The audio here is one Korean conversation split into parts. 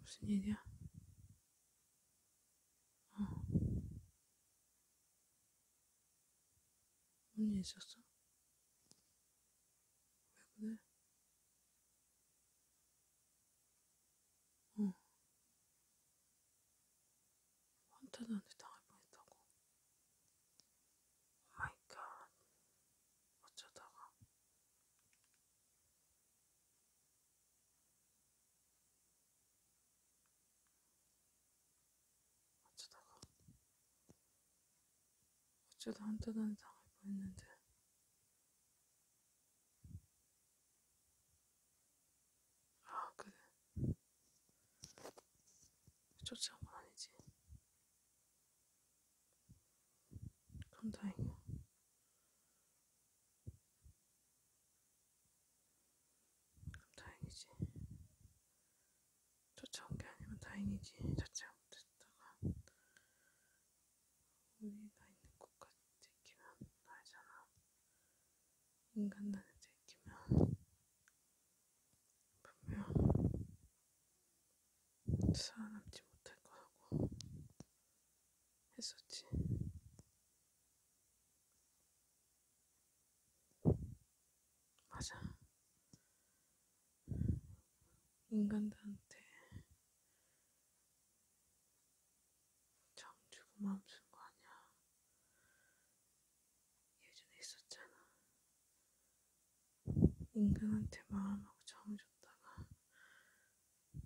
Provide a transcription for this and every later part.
무슨 일이야? 어. 무슨 일 있었어? 왜 그래? 어. 한테한테 당할 뻔했다고. 오마이갓. 어쩌다가. 어쩌다가. 어쩌다 한테한테 당할 뻔했는데. 아 그래 쫓아온 건 아니지 그럼 다행이야 그럼 다행이지 쫓아온 게 아니면 다행이지 쫓아 못했다가 우리가 있는 곳까지 들키면 알잖아 인간단에 들키면 분명 살아남지 못할 거라고 했었지. 맞아. 인간들한테 정 주고 마음 쓴거 아니야. 예전에 있었잖아. 인간한테 마음하고 정을 줬다가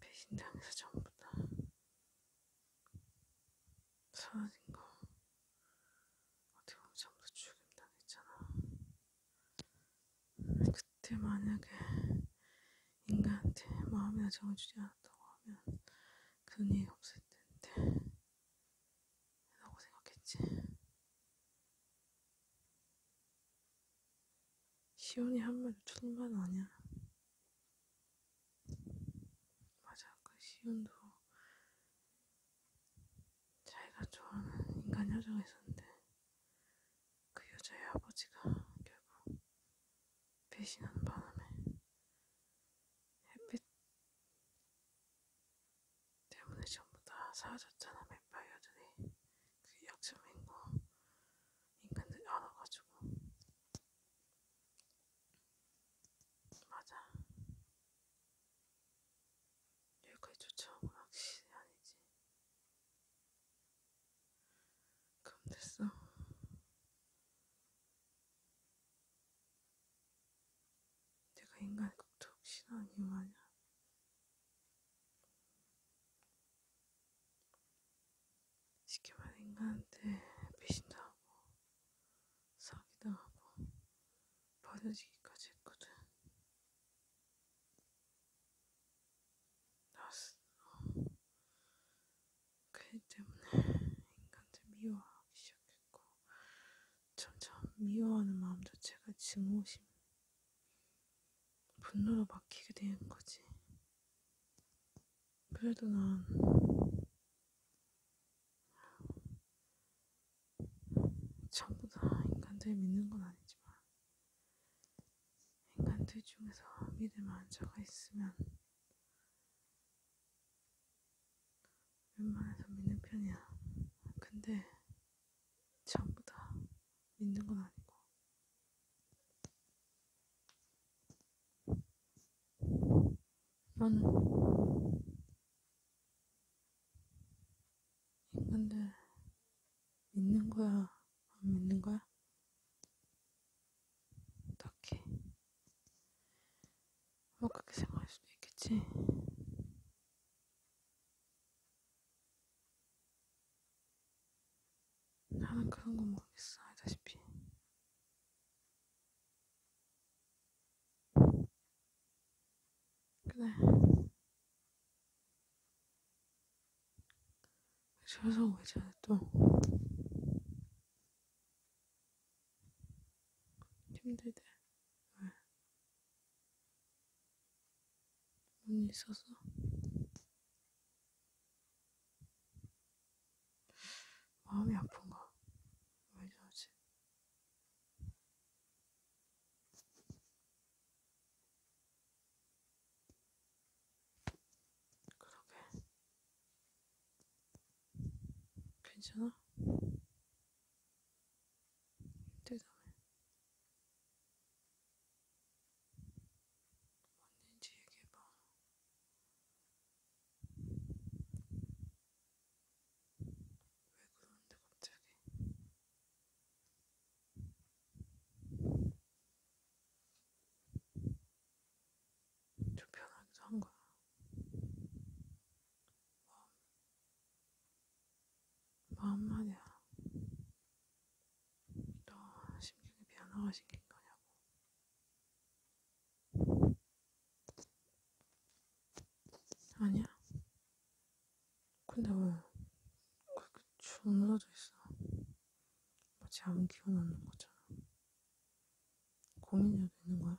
배신당해서 전부 다 사라진 거. 어떻게 보면 전부 다 죽임당했잖아. 그때 만약에 인간한테 마음이나 정을 주지 않았다고 하면 그런 일이 없을 텐데. 라고 생각했지. 시온이 한 말도 틀린 말은 아니야. 맞아, 그 시온도 자기가 좋아하는 인간 여자가 있었는데 그 여자의 아버지가 결국 배신하는 바람에 햇빛 때문에 전부 다 사라졌잖아 맨발 여전히 그게 약점인 거 인간들이 알아가지고 맞아 여기까지 쫓아오고 확실히 아니지 그럼 됐어 내가 인간의 독특 신앙이 뭐냐? 쉽게 말해 인간한테 배신당하고 사기당하고 버려지기까지 했거든. 나 스스로 그렇기 때문에 인간들 미워하기 시작했고 점점 미워하는 마음 자체가 증오심, 분노로 막히게 되는 거지. 그래도 난 전부 다 인간들 믿는 건 아니지만 인간들 중에서 믿을 만한 자가 있으면 웬만해서 믿는 편이야. 근데 전부 다 믿는 건 아니고. 넌 인간들 믿는 거야? 안 믿는 거야? 어떡해. 뭐 그렇게 생각할 수도 있겠지. 나는 그런 건 모르겠어, 알다시피. 그래. 집에서 오기 전에 또 힘들대. 왜? 뭔 있었어? 마음이 아픈가? 왜 저러지? 그러게. 괜찮아? 대단해. 뭔지 얘기해봐. 왜 그러는데 갑자기? 좀 편하게 산 거야. 마음, 마음만이야. 너 심경이 변화가신게 거냐고. 아니야. 근데 왜 그렇게 주물러져 있어? 마치 아무 기운 없는 거잖아. 고민해야 되는 거야.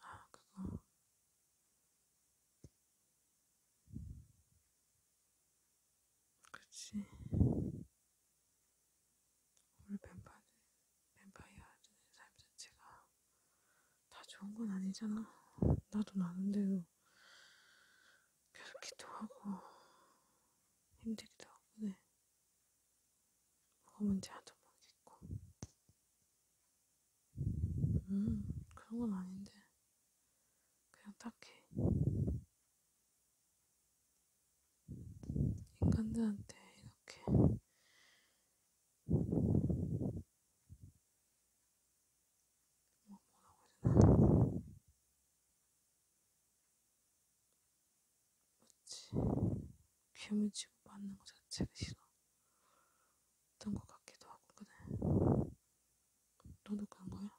아, 그거. 그치. 우리 뱀파이, 뱀파이어 삶 자체가 다 좋은 건 아니잖아. 나도 나는데도 괴롭기도 하고 힘들기도 하고 네. 뭐가 문제 하도 모르겠고 음 그런 건 아닌데 그냥 딱히 인간들한테 이렇게 뭐라고 그러지? 괴물치고 맞는 거 자체가 싫어. 어떤 것 같기도 하고 그래. 너도 그런 거야?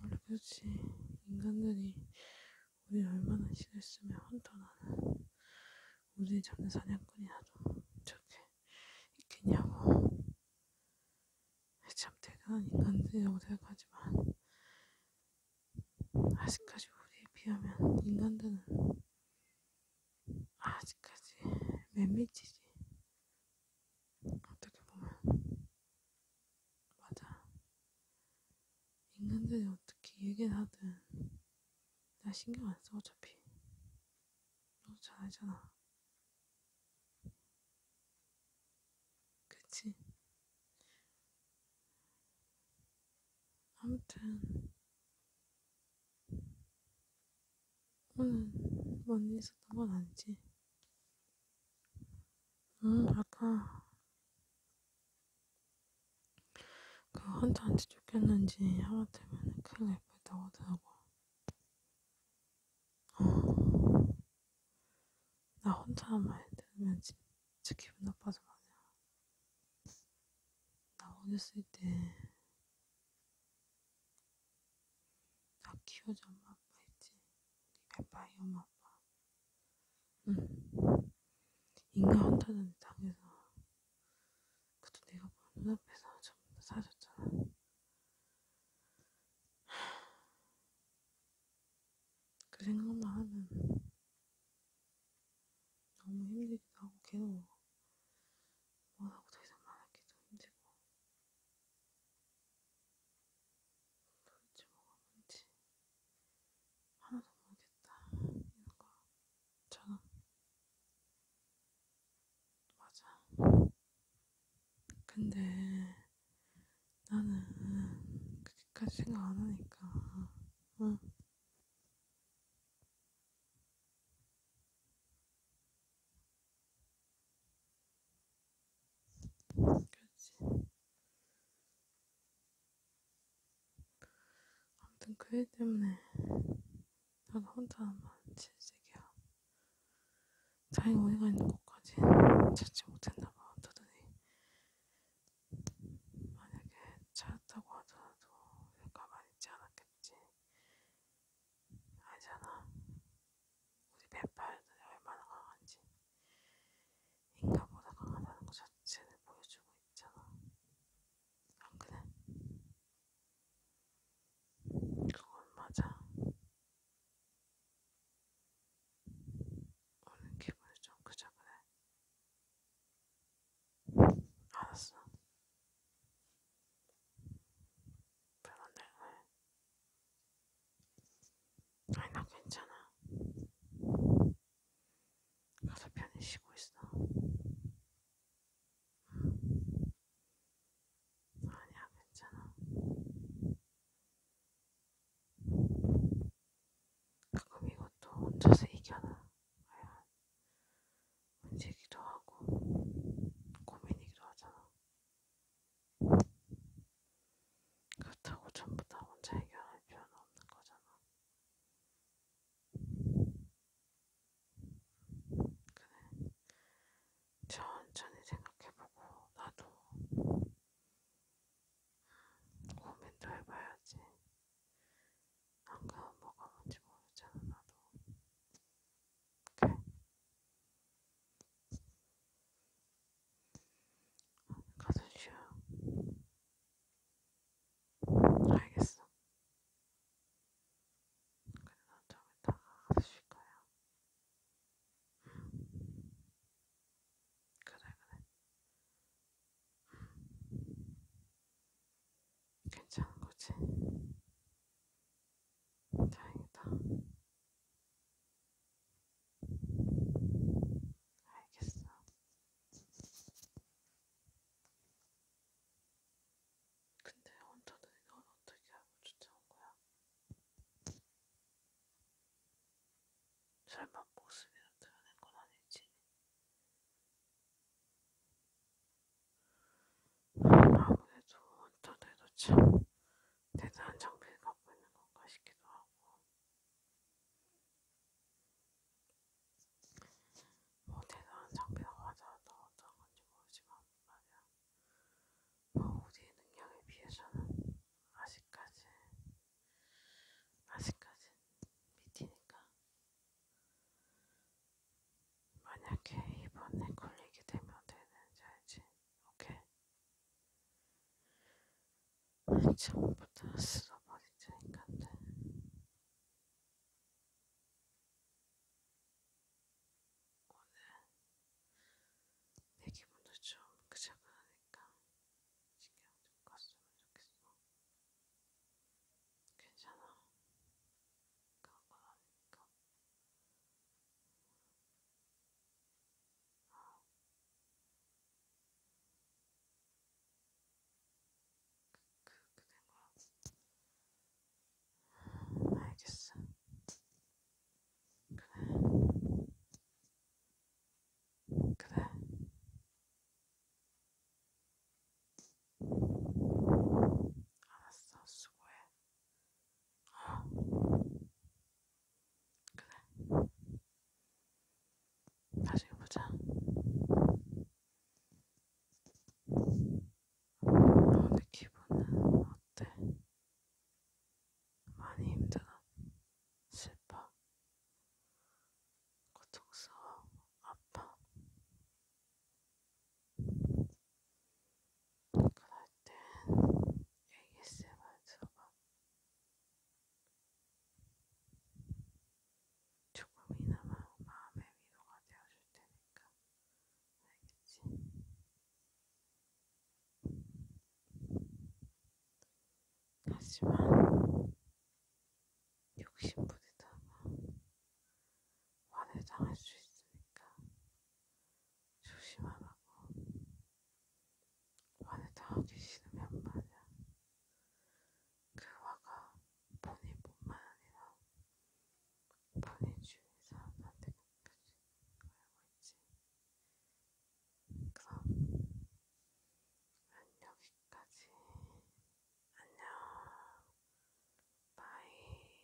원래 그렇지. 인간들이 우리 얼마나 싫었으면 헌터나는 우리 잡는 사냥꾼이라도 저렇게 있겠냐고. 참 대단한 인간들이 어딜까지만 아직까지 우리에 비하면 인간들은 아직까지 맨밑이지. 어떻게 보면 맞아. 인간들이 어떻게 얘기를 하든 나 신경 안 써 어차피 너무 잘 알잖아. 그치? 아무튼 오늘 뭔일 있었던 건 아니지? 응, 아까 그 헌터한테 쫓겼는지 하마터면 큰일 날 뻔했다고 하더라고. 어. 나 혼자만 말 들으면 진짜 기분 나빠서 말이야. 나 어렸을 때, 나 키워준 엄마 아빠 있지? 우리 아빠이 엄마 아빠. 응. 인간 헌터는 당해서 그래도 내가 눈앞에서 전부 다 사줬잖아. 그 생각만 하면 너무 힘들기도 하고 괴로워. 뭐 뭐라고 더 이상 말하기도 힘들고. 도대체 뭐가 뭔지 하나도 모르겠다. 이런 거. 저는 맞아. 근데 나는 그렇게까지 생각 안 하니까. 응. 어. 그렇지. 아무튼 그애 때문에 나도 혼자만 질색이야. 자기 어디가 있는 곳까지 찾지 못했나 봐. 어쩌더니 만약에 찾았다고 하더라도 가만히 있지 않았겠지. 알잖아. 우리 배팔들이 얼마나 강한지. 인간보다 강하다는 거 자체를 보여주고 있잖아. 안 그래? 그건 맞아. 오늘 기분이 좀 그저 그래. 알았어. 별로 내가 아니 나 괜찮아. 가서 편히 쉬고 있어. 응. 아니야, 괜찮아. 가끔 이것도 혼자서 이겨나. 과연 문제기도 하고 고민이기도 하잖아. 그렇다고 전부 다 혼자 해결할 필요는 없는 거잖아. 그래. 천천히 생각해보고 나도 고민도 해봐야지. 안 가면 뭐가 뭔지 모르잖아 나도. 그래. 가서 쉬어. 알겠어. 그래, 난좀 이따가 가서 쉴 거야. 응. 그래, 그래. 응. 괜찮은 거지? 다행이다. 알겠어. 근데 혼자는 이걸 어떻게 알고 쫓아온 거야? 설마 목숨이라 드러낸 건 아니지? 아무래도 혼자들도 참 대단한 장비를 갖고 있는 건가 싶기도 하고 뭐 대단한 장비나 화자가 나왔던 건지 모르지만 말이야. 버우디의 어, 능력에 비해서는 아직까지 아직까지 미티니까 만약에 이번에 걸리게 되면 되는지 알지? 오케이? 처음부터 쓸어버린 인간들. 오늘 내 기분도 좀 그저그러니까 신경 좀 껐으면 좋겠어. 괜찮아. 그런 건 아니니까. 어. 그, 그, 그된 거야? 알겠어. 그래. 그래. 알았어, 수고해. 어. 그래. 나중에 보자. 오늘 기분은 어때? 많이 힘들어? 슬퍼? 고통스러워? 아파? 그럴 땐 ASMR 들어봐. 조금이나마 마음의 위로가 되어줄 테니까 알겠지? 하지만 욕심 부리다가 화를 당할 수 있으니까 조심하라고 화를 당하기 싫으면 말이야. 그 화가 본인 뿐만 아니라 본인 주위 사람한테 굽혀지 알고 있지. 그럼 난 여기까지. 안녕. 바이.